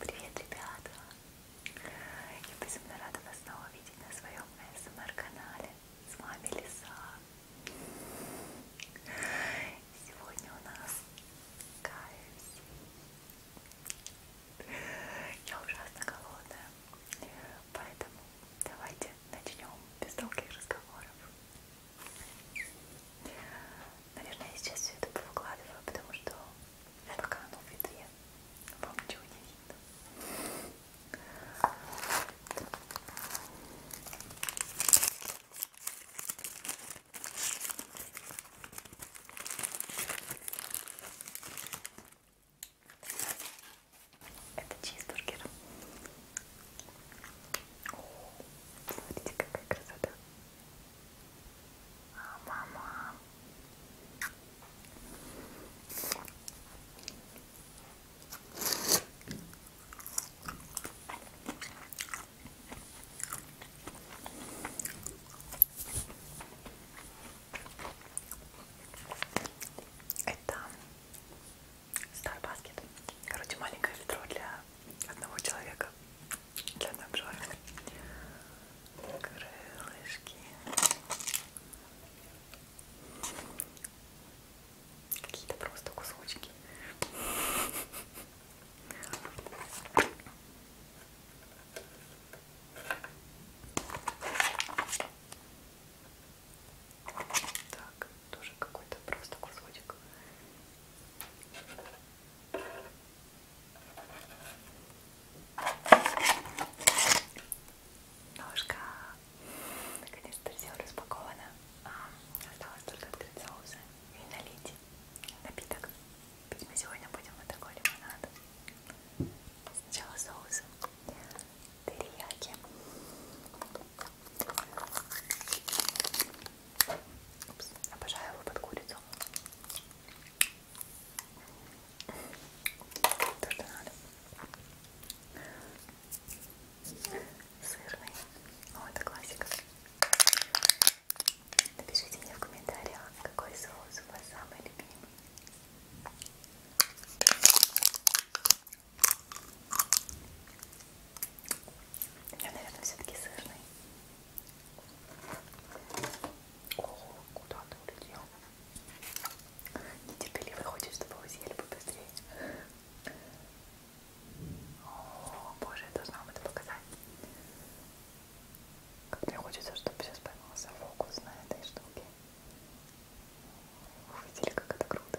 Привет, ребята! Я безумно рада вас снова видеть на своем СМР-канале. С вами Лиса. Сегодня у нас KFC. Я ужасно голодная, поэтому давайте начнем без долгих разговоров. Наверное, я сейчас все это повыкладываю, потому что это пока оно ну, в ветве. Вам ничего не видно. Это чизбургер. О, смотрите, какая красота мама. Это Star Basket. Короче, маленькое ведро для одного человека для одного человека крылышки какие-то просто кусочки так, тоже какой-то просто кусочек. Ножка. Наконец-то все распаковано. А, осталось только открыть соусы и налить напиток. Ведь мы сегодня будем вот такой лимонад. Сначала соус терияки. Упс, обожаю его под курицу. То, что надо. Сырный. О, это классика. Напишите мне в комментариях, какой соус у вас самый любимый. Я, наверное, все-таки сырный. Ого, куда ты улетел? Нетерпеливый хочет, чтобы вы съели побыстрее. О, боже, я должна вам это показать. Как мне хочется, чтобы сейчас поймался фокус на этой штуке. Вы видели, как это круто?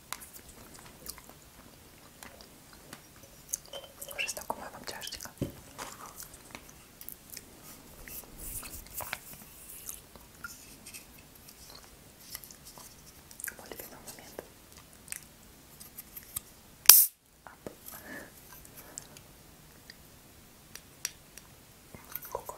Вже знакома вам чашечка. Мой любимый момент. Ап. Какое?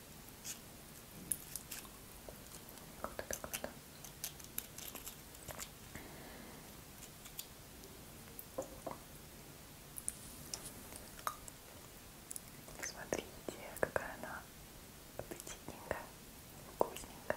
Круто, круто. Смотрите, какая она аппетитненькая, вкусненькая.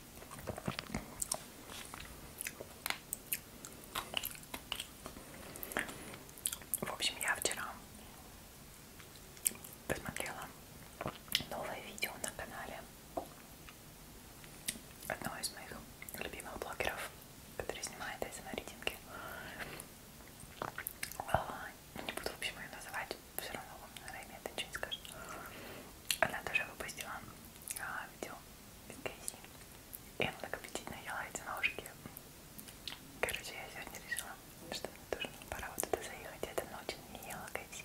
В общем, я вчера посмотрела новое видео на канале одного из моих любимых блогеров, который снимает эти нарядинки. А, не буду, в общем, ее называть, все равно вам, наверное, это что-нибудь скажет. Она тоже выпустила а, видео из Кейси. И она так аппетитно ела эти ножки. Короче, я сегодня решила, что мне тоже пора вот туда заехать. Я давно очень не ела Кейси.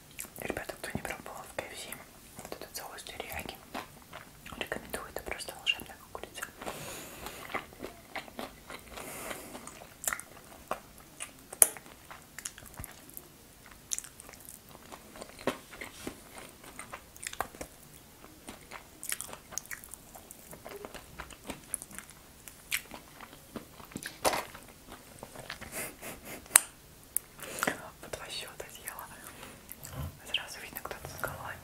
Ребята, кто не пробовал в КФС вот этот соус терияки, рекомендую, это просто волшебная курица. Вот два счета съела. Сразу видно, кто-то с голодный.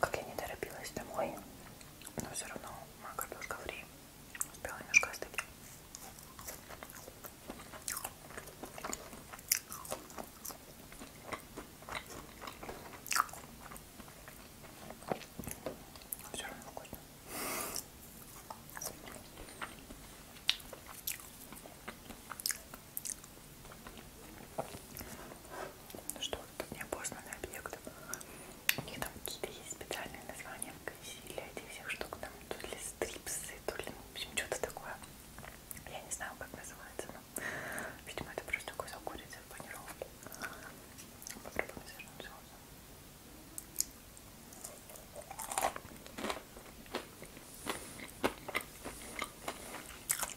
Как я не торопилась домой, но все равно моя картошка фри успела немножко остыть. Все равно вкусно. Ну что, тут неопознанный объект. У них там какие-то есть специальные названия для этих всех штук. Там то ли стрипсы, то ли, ну, в общем, что-то такое. Я не знаю, как называется, но, видимо, это просто кусок курицы в панировке. Попробуем свернуть соусом.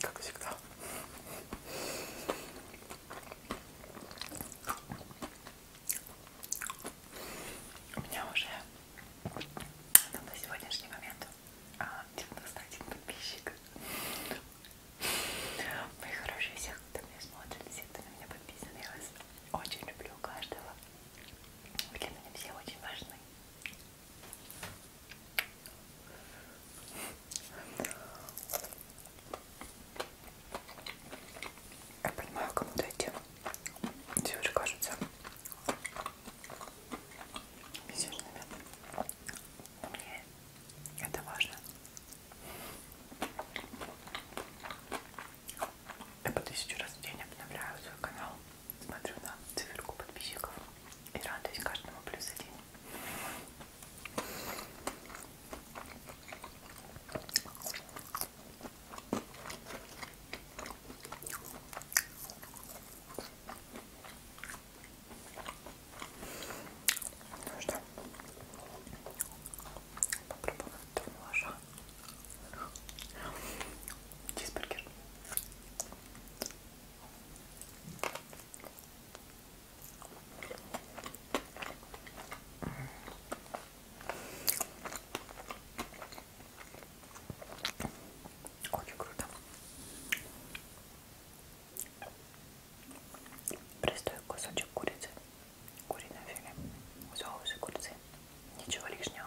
Как всегда. У меня уже ну, на сегодняшний момент 91 а, подписчик. Мои хорошие, всех, кто меня смотрит, все, кто на меня подписан, я вас очень люблю каждого. Вы для меня все очень важны. Я понимаю, кому-то эти девушки кажутся безумными. Но мне это важно. Я по тысячу раз в день обновляю свой канал. Смотрю на циферку подписчиков и радуюсь каждому плюс один. Ну что, попробуем этого молоша. Чизбургер. Очень круто. Простой кусочек курицы, куриное филе, соус и курицы, ничего лишнего.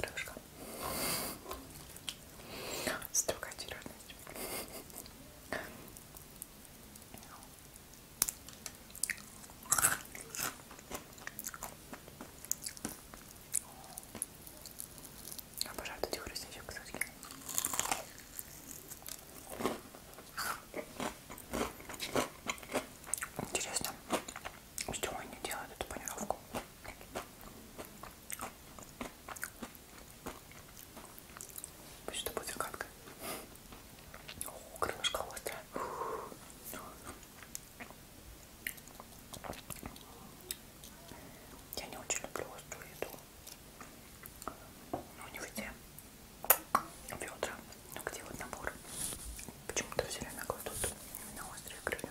Крышка. Строгая тиранность. Обожаю вот этих рысничек, кстати. Интересно, с чего они делают эту панировку? Пусть это будет как-то. О, крылышко острое. Я не очень люблю острую еду. Ну, не везде. Бедра. Ну, где вот набор? Почему-то все время кладут именно острые крылья.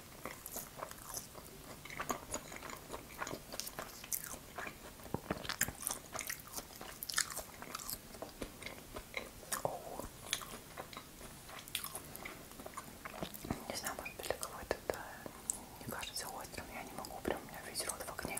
Не знаю, может быть, для кого-то это не кажется острым. Я не могу, прям у меня весь рот в окне.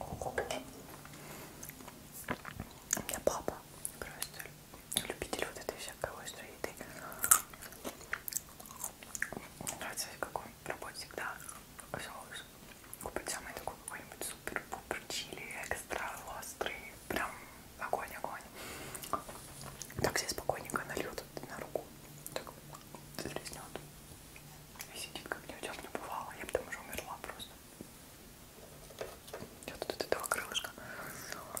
У меня папа просто любитель вот этой всякой острой еды. Мне нравится, как он в работе всегда соус. Купить самый такой какой-нибудь супер-пупер чили, экстра острый, прям огонь, огонь. Так себе спокойненько нальет на руку. Так зарезнет. И сидит, как ни у тебя не бывало. Я бы там уже умерла просто. Я тут от этого крылышка. Да-да.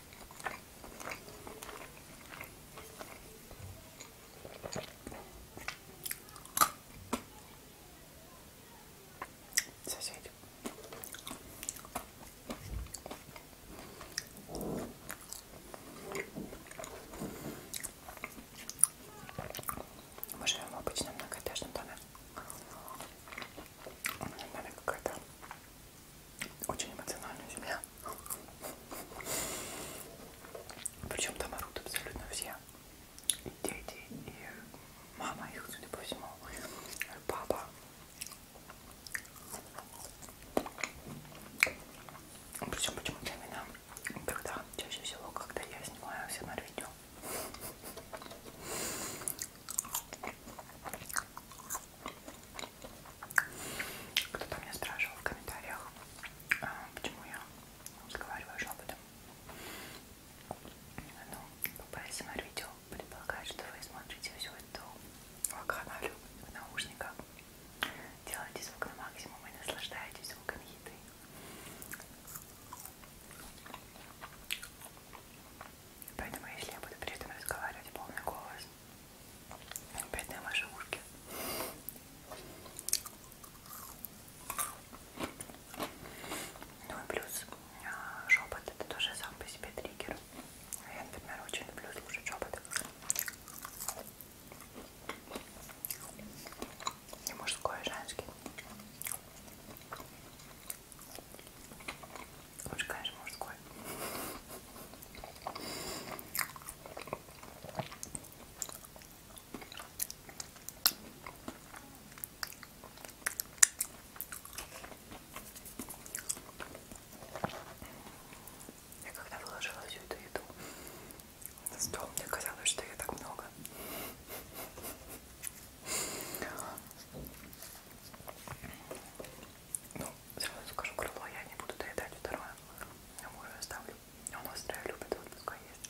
Соседи. Мы живем в обычном многоэтажном доме. У меня какая-то очень эмоциональная земля. Причем там орут абсолютно все. И дети, и мама их, судя по всему, и папа. Причем почему для меня когда чаще всего, когда я снимаю все на видео. Кто-то меня спрашивал в комментариях, а, почему я разговариваю шепотом. Ну, по СМР-видео предполагает, что вы смотрите всю эту вакханалию в наушниках, делаете звук на максимум и наслаждаетесь звуком еды. Поэтому, если я буду при этом разговаривать полный голос, опять на ваши ушки. Ну и плюс а, шепот это тоже сам по себе триггер. Я, например, очень люблю слушать шепот. И мужской, и женский. Лучше, конечно, мужской. Я когда выложила всю эту еду на стол, мне казалось, что ее так много. Ну, сразу скажу, крыло я не буду доедать второе. Я мужа оставлю. Он а острое любит, вот пускай есть.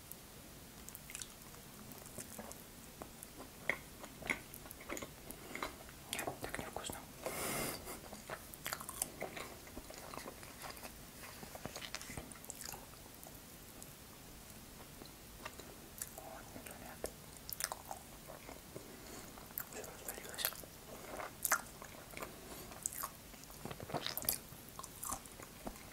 Нет, так невкусно. Вот, ребят. Все развалилось.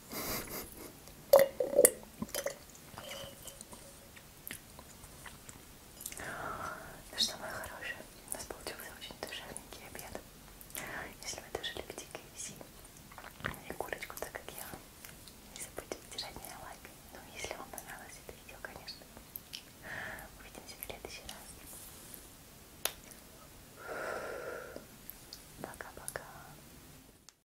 сейчас. Ну что, мои хорошие, у нас получился очень душевненький обед. Если вы тоже любите KFC и курочку, так как я, не забудьте поддержать меня лайком. Ну, если вам понравилось это видео, конечно. Увидимся в следующий раз. Пока-пока.